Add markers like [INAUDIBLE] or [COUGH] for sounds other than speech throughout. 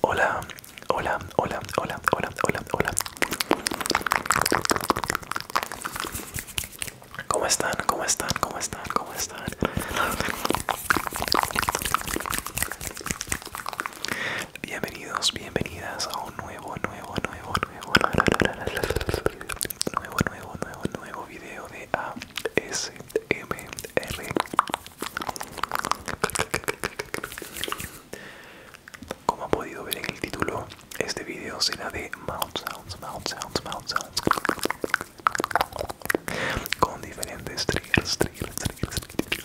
Hola, hola, hola, hola, hola, hola, hola. ¿Cómo están? ¿Cómo están? ¿Cómo están? ¿Cómo están? Bienvenidos, bienvenidas a un nuevo, nuevo, nuevo, nuevo, nuevo, nuevo, nuevo, nuevo video de ASMR. Como ha podido ver en el título, este video será de mouth sounds, mouth sounds, mouth sounds. Con diferentes triggers, triggers, triggers, triggers.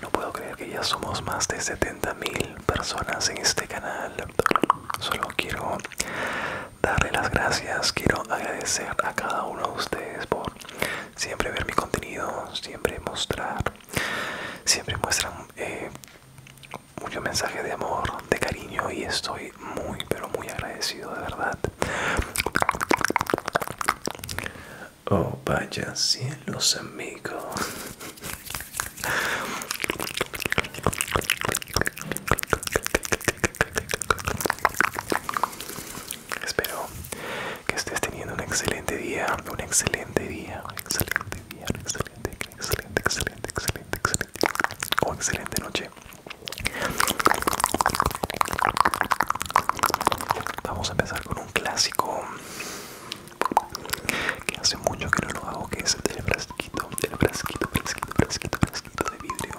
No puedo creer que ya somos más de 70.000 personas en este canal. Solo quiero darle las gracias, quiero agradecer a cada uno de ustedes por siempre ver mi contenido, siempre mostrar, siempre muestran eh, mucho mensaje de amor, de cariño y estoy muy pero muy agradecido de verdad. Oh vaya cielos amigos. Espero que estés teniendo un excelente día, un excelente día, excelente día, un excelente excelente, excelente, excelente, excelente oh, excelente noche. Vamos a empezar con un clásico que hace mucho que no lo hago, que es el frasquito, el frasquito, frasquito, frasquito, frasquito de vidrio.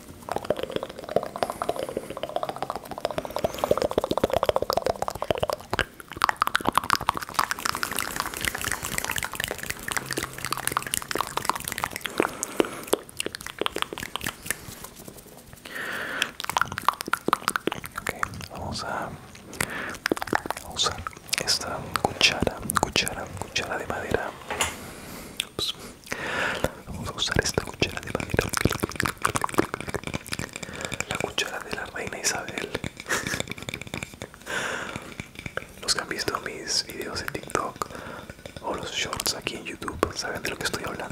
Okay, vamos a usar esta cuchara, cuchara, cuchara de madera. Vamos a usar esta cuchara de madera. La cuchara de la reina Isabel. Los que han visto mis videos en TikTok o los shorts aquí en YouTube saben de lo que estoy hablando.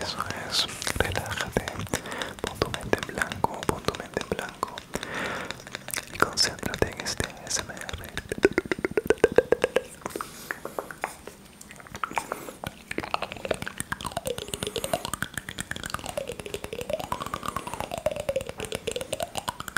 Eso es, relájate, pon tu mente blanco, pon tu mente en blanco y concéntrate en este SMR.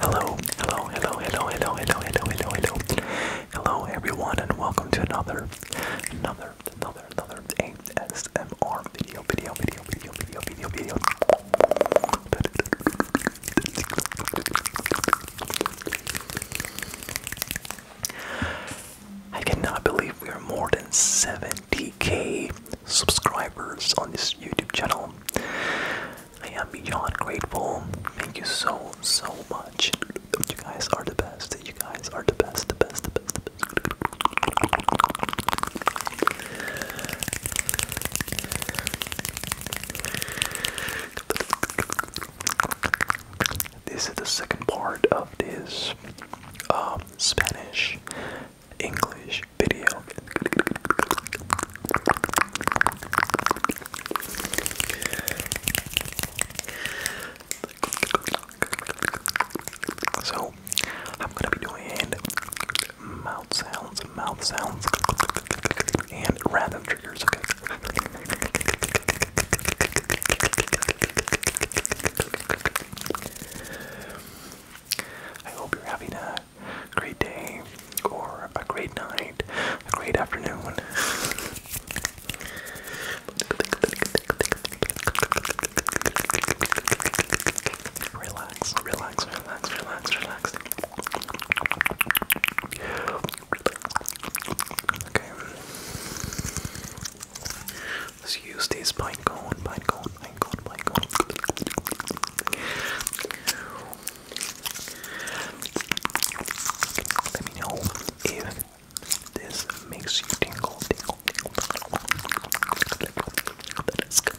Hello, hello, hello, hello, hello, hello, hello, hello, hello, hello, everyone, and welcome to another, another, another, another ASMR video, video, video, video, video, video, video. I cannot believe we are more than 70k subscribers on this YouTube channel. I am beyond grateful. Thank you so, so much. You guys are the best. You guys are the best, the best, the best, the this is the second part of this um, Spanish English video. So I'm gonna be doing mouth sounds, mouth sounds, and random triggers. Okay. I hope you're having a great day, or a great night, a great afternoon. Relax, relax, relax, relax, relax. Okay. Let's use this pine cone, pine cone, Let me know if this makes you tingle, tingle, tingle. That is good.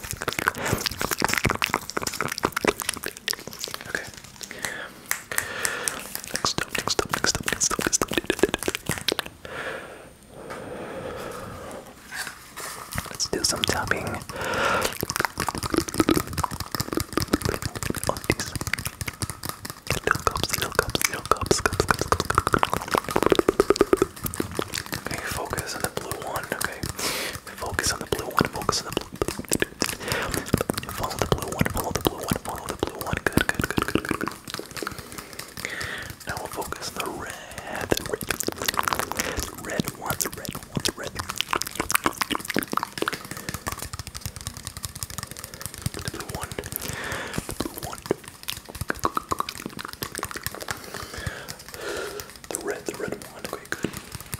Okay. Next up, next up, next up, next up, next up. Let's do some tapping. On oh, these little cups, little cups, little cups, cups, cups, cups. Okay, focus on the blue one. Okay, Focus on the blue one. Focus on the blue. Follow the blue one. Follow the blue one. Follow the blue one. Good, good, good, Now we'll focus on the red. The red, the red one. The red one. The red. one. The blue one. The red, one, okay,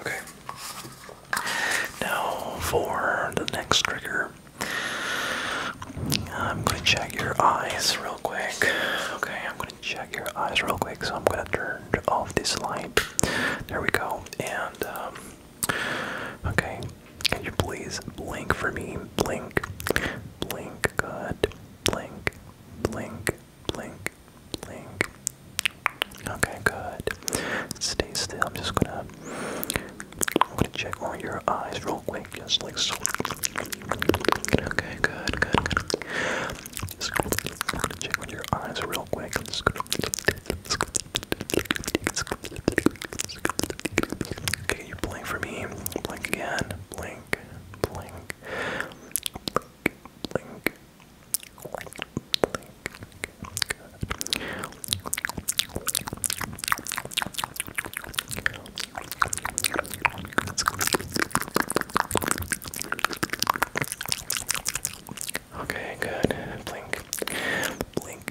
Okay. Now for the next trigger. I'm gonna check your eyes real quick. Okay, I'm gonna check your eyes real quick. So I'm gonna turn off this light. There we go. And um, okay, can you please blink for me? Blink, blink. Good. Blink, blink, blink, blink, Okay, good. Stay still. I'm just gonna, I'm gonna check on your eyes real quick, just like so. Okay, good, good, good. Just gonna check on your eyes real quick. I'm just gonna. Okay, you blink for me. Blink again. Blink, blink blink, blink. Blink, Blink. Blink.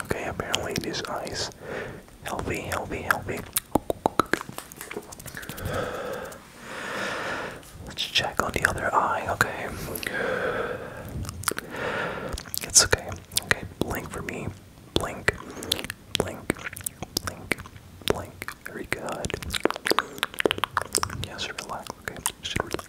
Okay, apparently these eyes healthy, healthy, healthy. Let's check on the other eye, okay? It's okay. Okay, blink for me. Blink, blink, blink, blink. Very good. Yes, relax. Okay, should relax.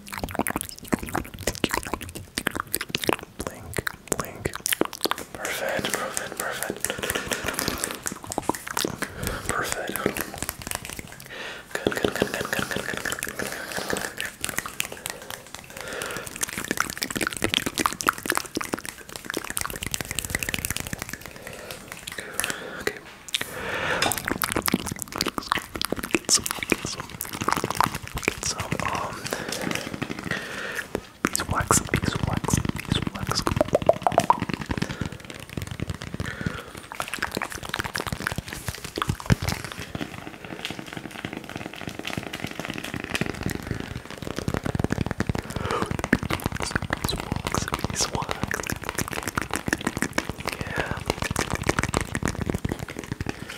Blink, blink. Perfect, perfect, perfect. Perfect. Good, good, good, good, good, good, good, good, good, good. Okay get some, get some, get some, um, beeswax, beeswax, Yeah.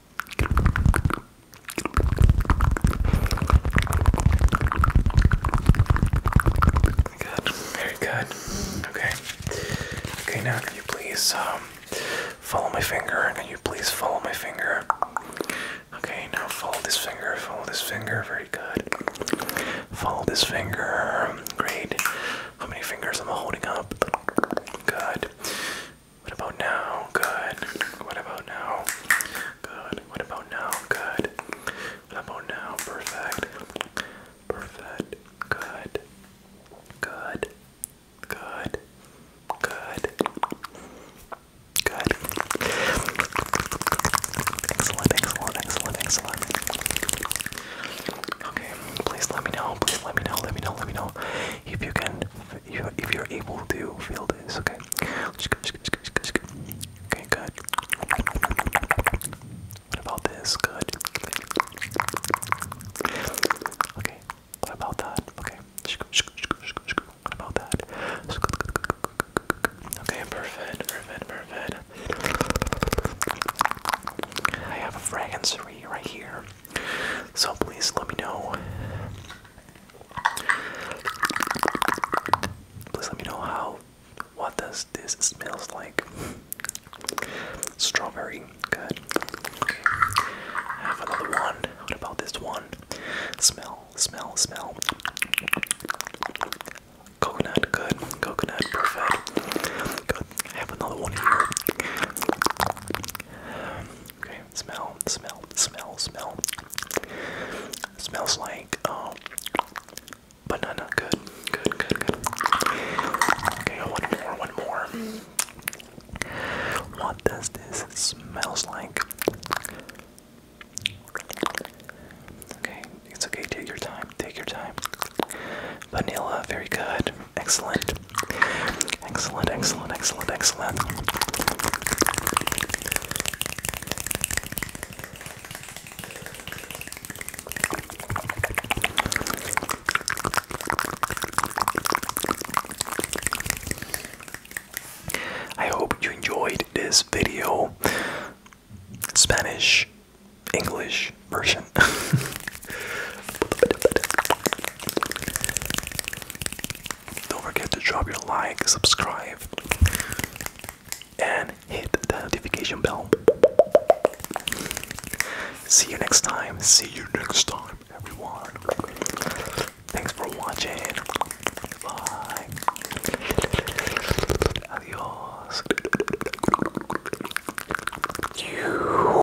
very good. Okay. Okay, now can you please um, follow my finger? Can you please follow my finger? Okay, now follow this finger, follow this finger, very good. Follow this finger. Great. How many fingers am I holding up? Good. What about now? Good. What about now? Good. What about now? Good. What about now? Perfect. Perfect. Good. Good. Good. Good. Good. Excellent, excellent, excellent, excellent. Okay, please let me know. Please let me know. Let me know. Let me know if you can, if you're able to feel this, okay? Okay, good. What about this? Good. Okay, what about that? Okay. What about that? Okay, perfect, perfect, perfect. I have a fragrance right here. So please let me know. Please let me know how what does this smells like. Strawberry, good. Okay. Have another one. What about this one? Smell, smell, smell. Coconut, good. Coconut, perfect. Good. Have another one here. Okay, smell, smell, smell, smell. Smells like um banana. Good, good, good, good. Okay, one more, one more. What does this smells like? Okay, it's okay, take your time, take your time. Vanilla, very good, excellent. Excellent, excellent, excellent, excellent. I hope you enjoyed this video. Spanish, English version. [LAUGHS] Don't forget to drop your like, subscribe, and hit the notification bell. See you next time. See you next time, everyone. Thanks for watching. Bye. Adios.